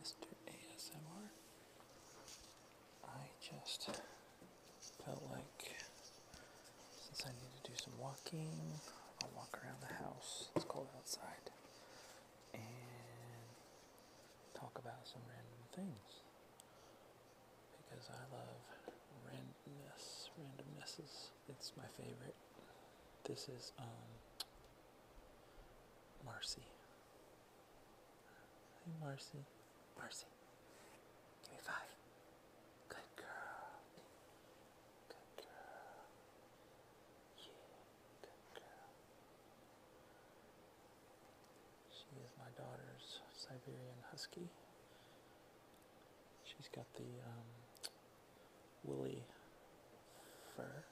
Mr. ASMR. I just felt like since I need to do some walking, I'll walk around the house. It's cold outside. And talk about some random things. Because I love randomness. Randomnesses. It's my favorite. This is um Marcy. Hey, Marcy. Marcy. Give me five. Good girl. Good girl. Yeah, She is my daughter's Siberian Husky. She's got the um, woolly fur,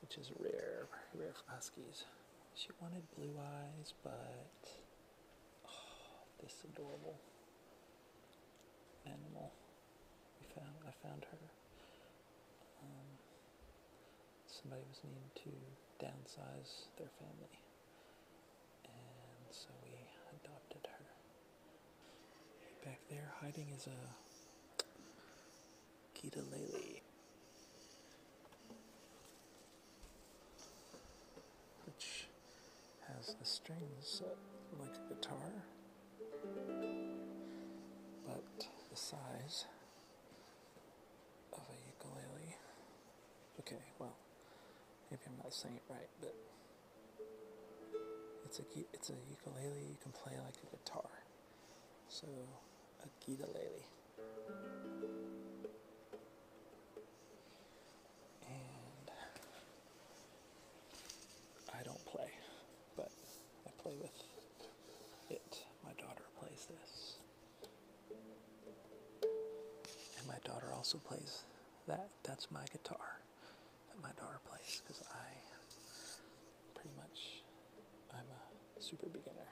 which is rare, rare for huskies. She wanted blue eyes, but oh, this adorable animal we found. I found her. Um, somebody was needing to downsize their family, and so we adopted her. Back there, hiding is a Kitalele. Which has the strings uh, like a guitar, but the size of a ukulele. Okay, well, maybe I'm not saying it right, but it's a it's a ukulele you can play like a guitar. So, aqui da Lele. And I don't play, but I play with it. My daughter plays this. And my daughter also plays that. That's my guitar that my daughter plays because I pretty much I'm a super beginner.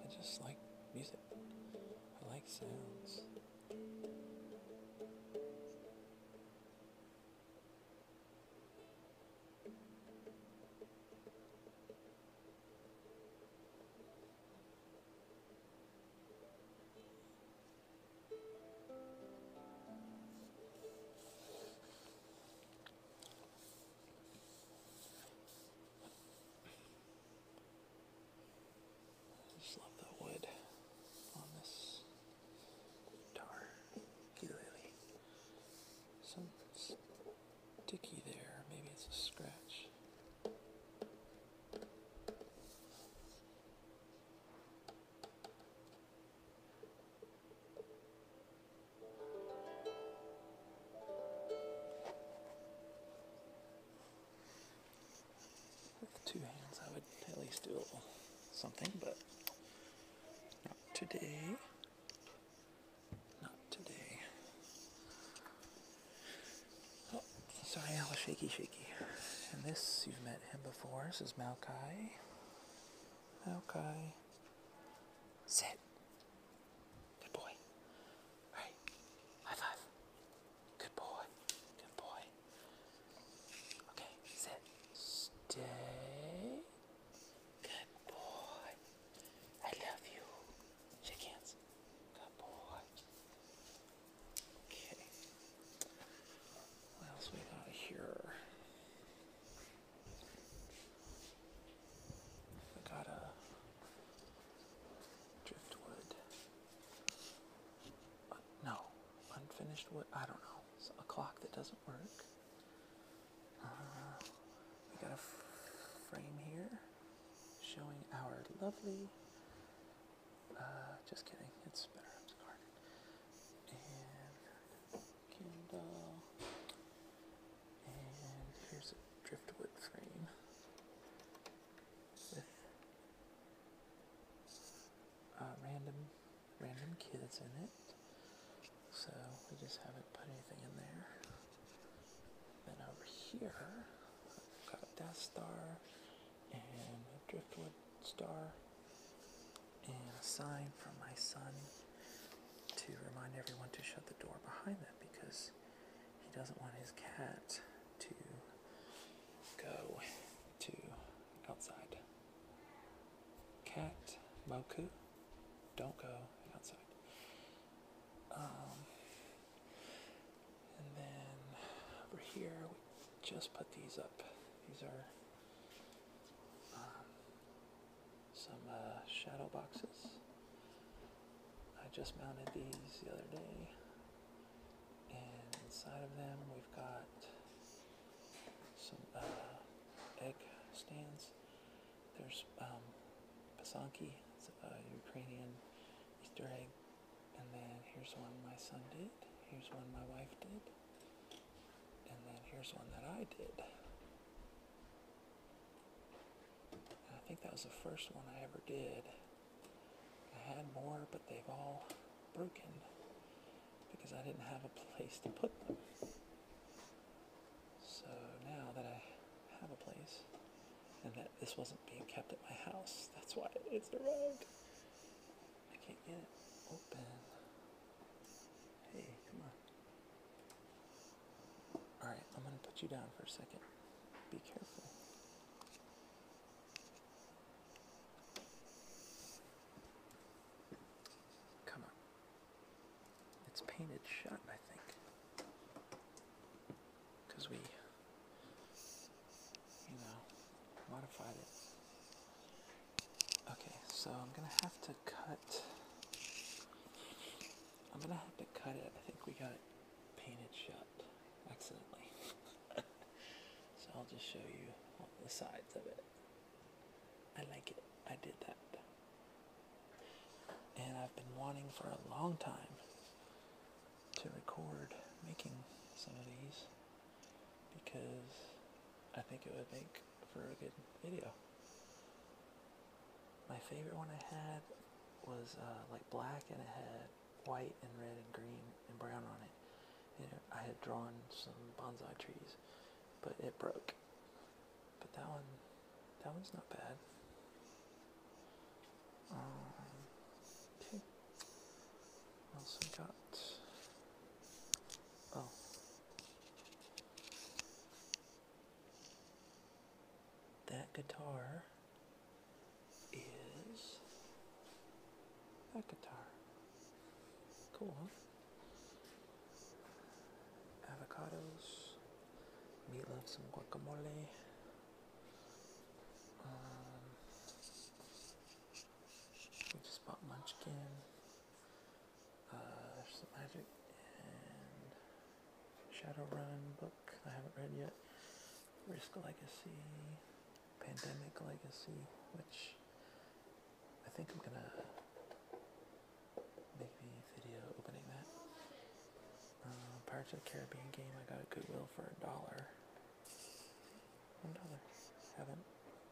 I just like music. I like sounds. Just love the wood on this guitar ukulele. Some sticky there, maybe it's a scratch. With two hands I would at least do something, but not today. Not today. Oh, sorry, I shaky shaky. And this, you've met him before, this is Maokai. Okay. Sit. Good boy. Right. High five. Good boy. Good boy. Okay. Sit. Stay. Good boy. I love you. Shake hands. Good boy. Okay. What else we got here? I got a driftwood. no, unfinished wood. I don't know. a clock that doesn't work. Uh, we got a frame here showing our lovely. Uh, just kidding. It's better. And here's a driftwood frame with uh, random, random kids in it. So we just haven't put anything in there. Then over here, I've got a Death Star and a driftwood star and a sign from my son to remind everyone to shut the door behind them because he doesn't want his cat to go to outside. Cat Moku, don't go outside. Um, and then over here, we just put these up. These are um, some uh, shadow boxes. I just mounted these the other day, and inside of them we've got some uh, egg stands. There's um, Pasanki, it's a Ukrainian Easter egg, and then here's one my son did. Here's one my wife did. And then here's one that I did. I think that was the first one I ever did. I had more, but they've all broken because I didn't have a place to put them. So now that I have a place, and that this wasn't being kept at my house, that's why it's arrived. I can't get it open. Hey, come on. Alright, I'm going to put you down for a second. Be careful. Come on. It's painted shut, I think. we, you know, modified it. Okay, so I'm gonna have to cut. I'm gonna have to cut it. I think we got it painted shut accidentally. so I'll just show you the sides of it. I like it. I did that. And I've been wanting for a long time to record making some of these because I think it would make for a good video. My favorite one I had was uh, like black and it had white and red and green and brown on it. And I had drawn some bonsai trees, but it broke. But that one, that one's not bad. Um, also got. Oh, that guitar is that guitar. Cool, huh? Avocados, meatloaf, some guacamole. Um, we just bought munchkin. Uh, there's some magic and Shadowrun book I haven't read yet. Risk Legacy, Pandemic Legacy, which I think I'm gonna make a video opening that. Uh, Pirates of the Caribbean game I got at Goodwill for a dollar. One dollar. Haven't.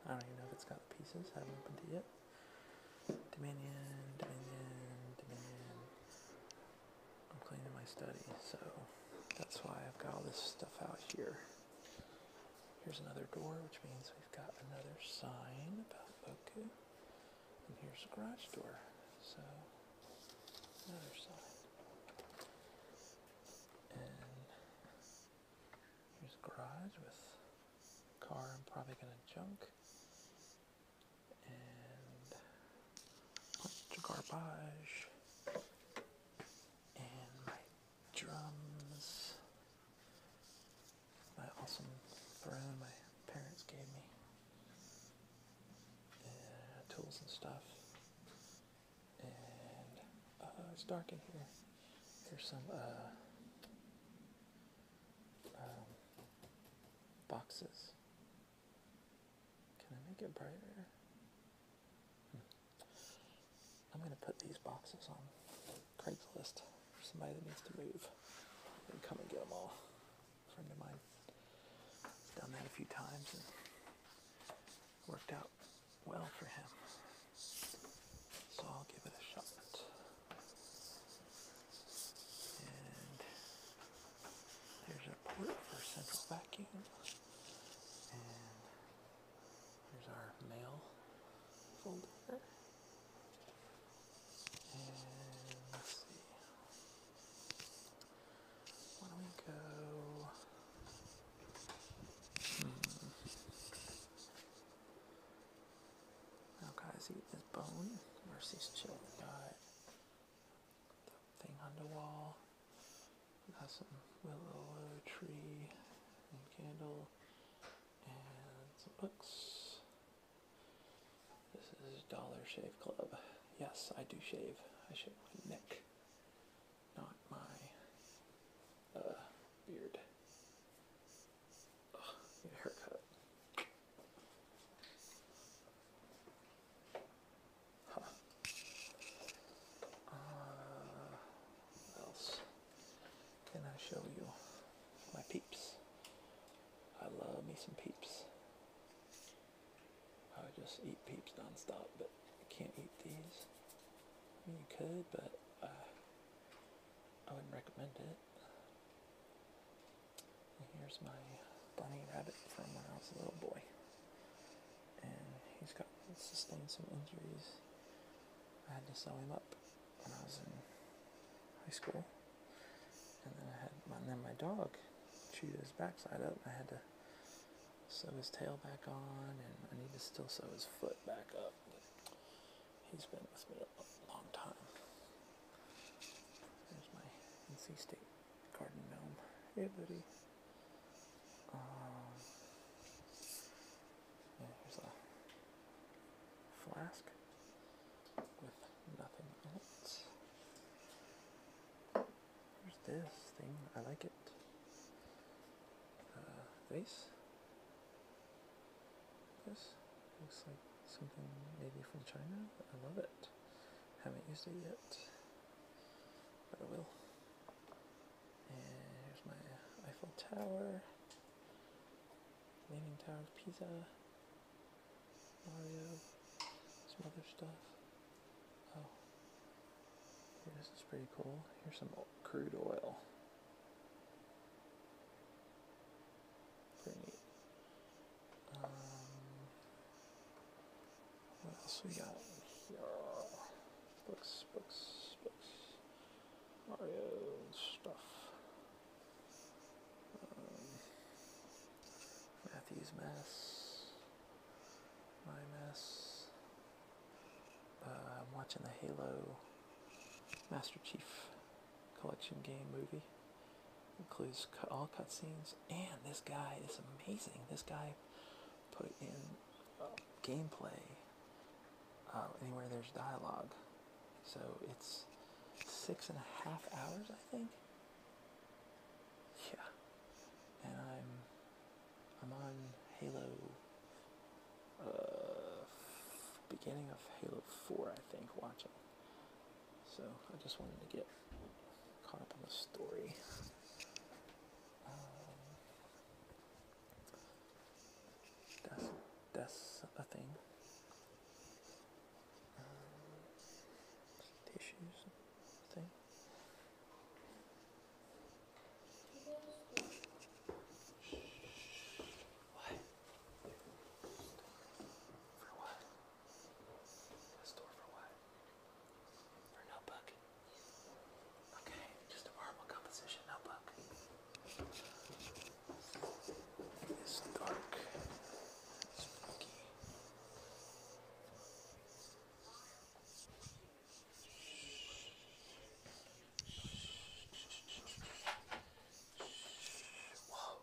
I don't even know if it's got the pieces. Haven't opened it yet. Dominion, Dominion, Dominion. I'm cleaning my study, so that's why I've got all this stuff out here. Here's another door, which means we've got another sign about Boku. And here's a garage door, so another sign. And here's a garage with car I'm probably going to junk and bunch garbage and my drums my awesome throne my parents gave me and tools and stuff and uh, it's dark in here here's some uh, um, boxes. Can I make it brighter? Hmm. I'm going to put these boxes on Craigslist for somebody that needs to move and come and get them all. A friend of mine done that a few times and worked out well for him. So I'll give it a shot. And there's a port for central vacuum. And here's our mail folder. And let's see. Why don't we go? Hmm. Now guys eat this bone. Mercy's chill got the thing on the wall. Got some willow tree and candle and some books. This is Dollar Shave Club. Yes, I do shave. I shave my neck, not my uh, beard haircut. Huh. what else can I show you? My peeps. I love me some peeps. I would just eat peeps nonstop, but I can't eat these. I mean, you could, but uh, I wouldn't recommend it. here's my bunny rabbit from when I was a little boy. And he's got sustained some injuries. I had to sew him up when I was in high school. And then I had my, then my dog chewed his backside up and I had to sew his tail back on and I need to still sew his foot back up. He's been with me a long time. There's my NC State Garden Gnome. Hey, buddy. Um, here's a flask with nothing in it. Here's this thing. I like it. Uh, this looks like something maybe from China. but I love it. Haven't used it yet, but I will. And here's my Eiffel Tower, Leaning Tower of Pisa, Mario, some other stuff. Oh, this is pretty cool. Here's some crude oil. Um, what else we got here? Books, books, books. Mario stuff. Um, Matthew's mess. My mess. Uh, I'm watching the Halo Master Chief collection game movie. Includes cut, all cutscenes, and this guy is amazing. This guy put in uh, gameplay uh, anywhere there's dialogue. So it's six and a half hours, I think. Yeah, and I'm I'm on Halo uh, beginning of Halo 4, I think, watching. So I just wanted to get caught up on the story. Um, that's a thing. tissues um, thing. For what? A store for what? For a notebook? Okay, just a marble composition notebook. It's dark. Spooky. Whoa.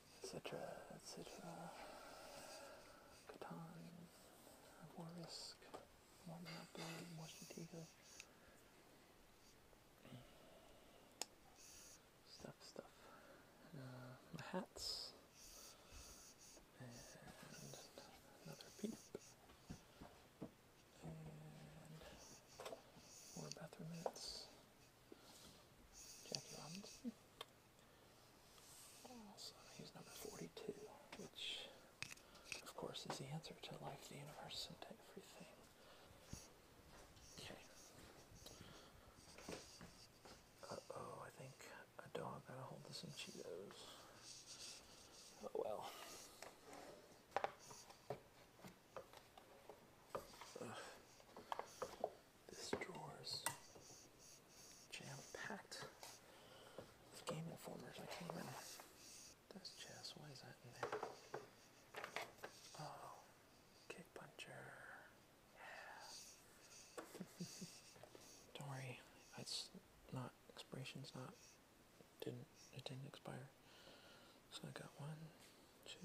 etc., etc. Catan, more risk, more Stuff, stuff. Uh, hats. And another peanut. more bathroom minutes. Jackie so he's number 42, which of course is the answer to life, the universe, and everything. Okay. Uh-oh, I think a dog got hold of some Cheetos. Oh well. This drawer's jam-packed with Game Informers. I came in. That's chess. Why is that in there? Oh, kick puncher. Yeah. Don't worry. It's not... Expiration's not... Didn't... It didn't expire. So I got one, two,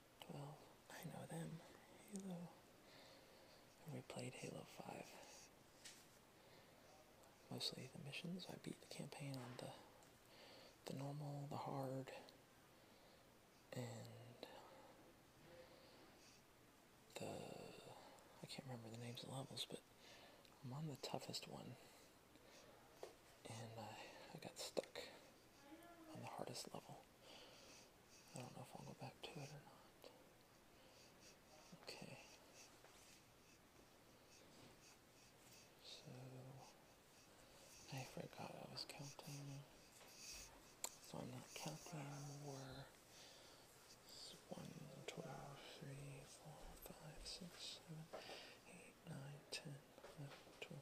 well, I know them. Halo. And we played Halo 5. Mostly the missions. I beat the campaign on the the normal, the hard, and the I can't remember the names of the levels, but I'm on the toughest one, and I got stuck on the hardest level. I don't know if I'll go back to it or not. Okay. So I forgot I was counting. So I'm not counting anymore. It's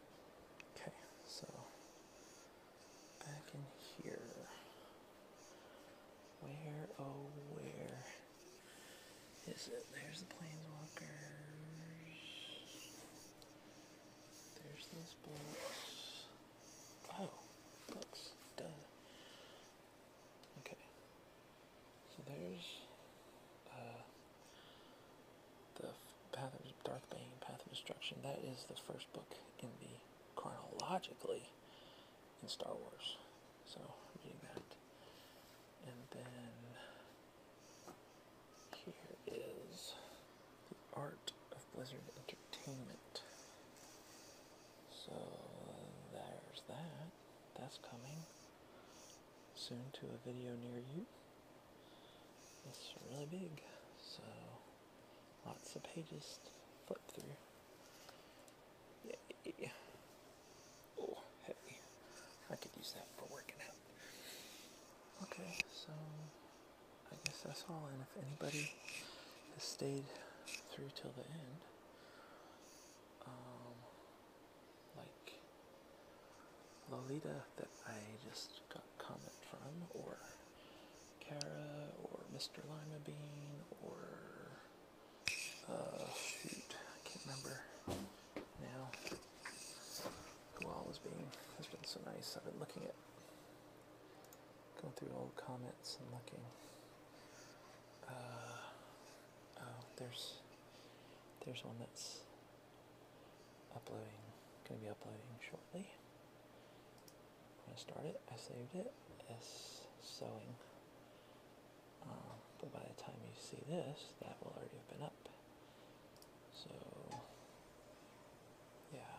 Okay, so back in here. Where, oh, where is it? There's the planeswalkers. There's those blocks. Oh, books. done. Okay. So there's uh, the Path of Darth Bane, Path of Destruction, that is the first book in the chronologically in Star Wars. So i that. And then here is The Art of Blizzard Entertainment. So there's that. That's coming soon to a video near you. It's really big, so lots of pages flip through. Yay. Oh, hey, I could use that for working out. Okay, so I guess that's all, and if anybody has stayed through till the end, um, like Lolita that I just got comment from, or Kara, or Mr. Lima Bean, or uh, shoot, I can't remember now who all is being. has been so nice. I've been looking at going through old comments and looking. Uh, oh, there's there's one that's uploading, going to be uploading shortly. I'm going to start it. I saved it as sewing. Um, but by the time you see this, that will already have been up. So, yeah.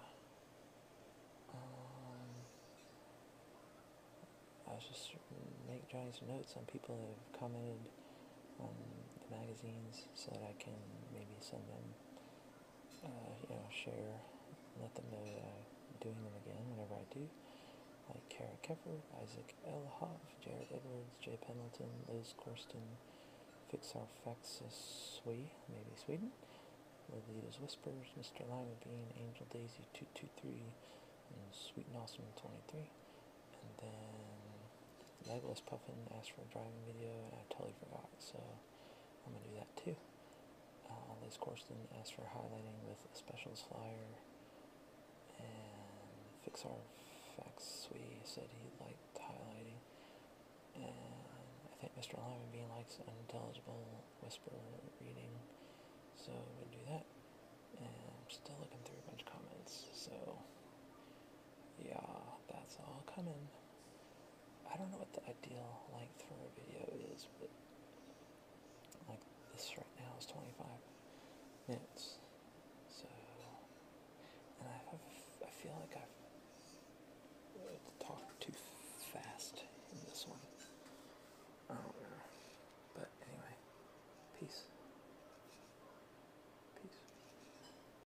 Um, I was just making Johnny's notes on people that have commented um, the magazines so that I can maybe send them, uh, you know, share, let them know I'm doing them again whenever I do. Like Kara Kepper, Isaac L. Hoff, Jared Edwards, Jay Pendleton, Liz Corsten, Fixar Faxiswe, maybe Sweden, Lolita's Whispers, Mr. Lima Bean, Angel Daisy 223, and Sweet and Awesome 23. And then Legolas Puffin asked for a driving video, and I totally forgot, so I'm gonna do that too. Uh, Liz Corsten asked for highlighting with a specials flyer, and Fixar We said he liked highlighting, and I think Mr. Lyman Bean likes unintelligible whisper reading, so we am gonna do that. And I'm still looking through a bunch of comments, so yeah, that's all coming. I don't know what the ideal length for a video is, but like this right now is 25 minutes. So, and I have, I feel like I've uh, talked too fast in this one. I don't know. But anyway, peace. Peace.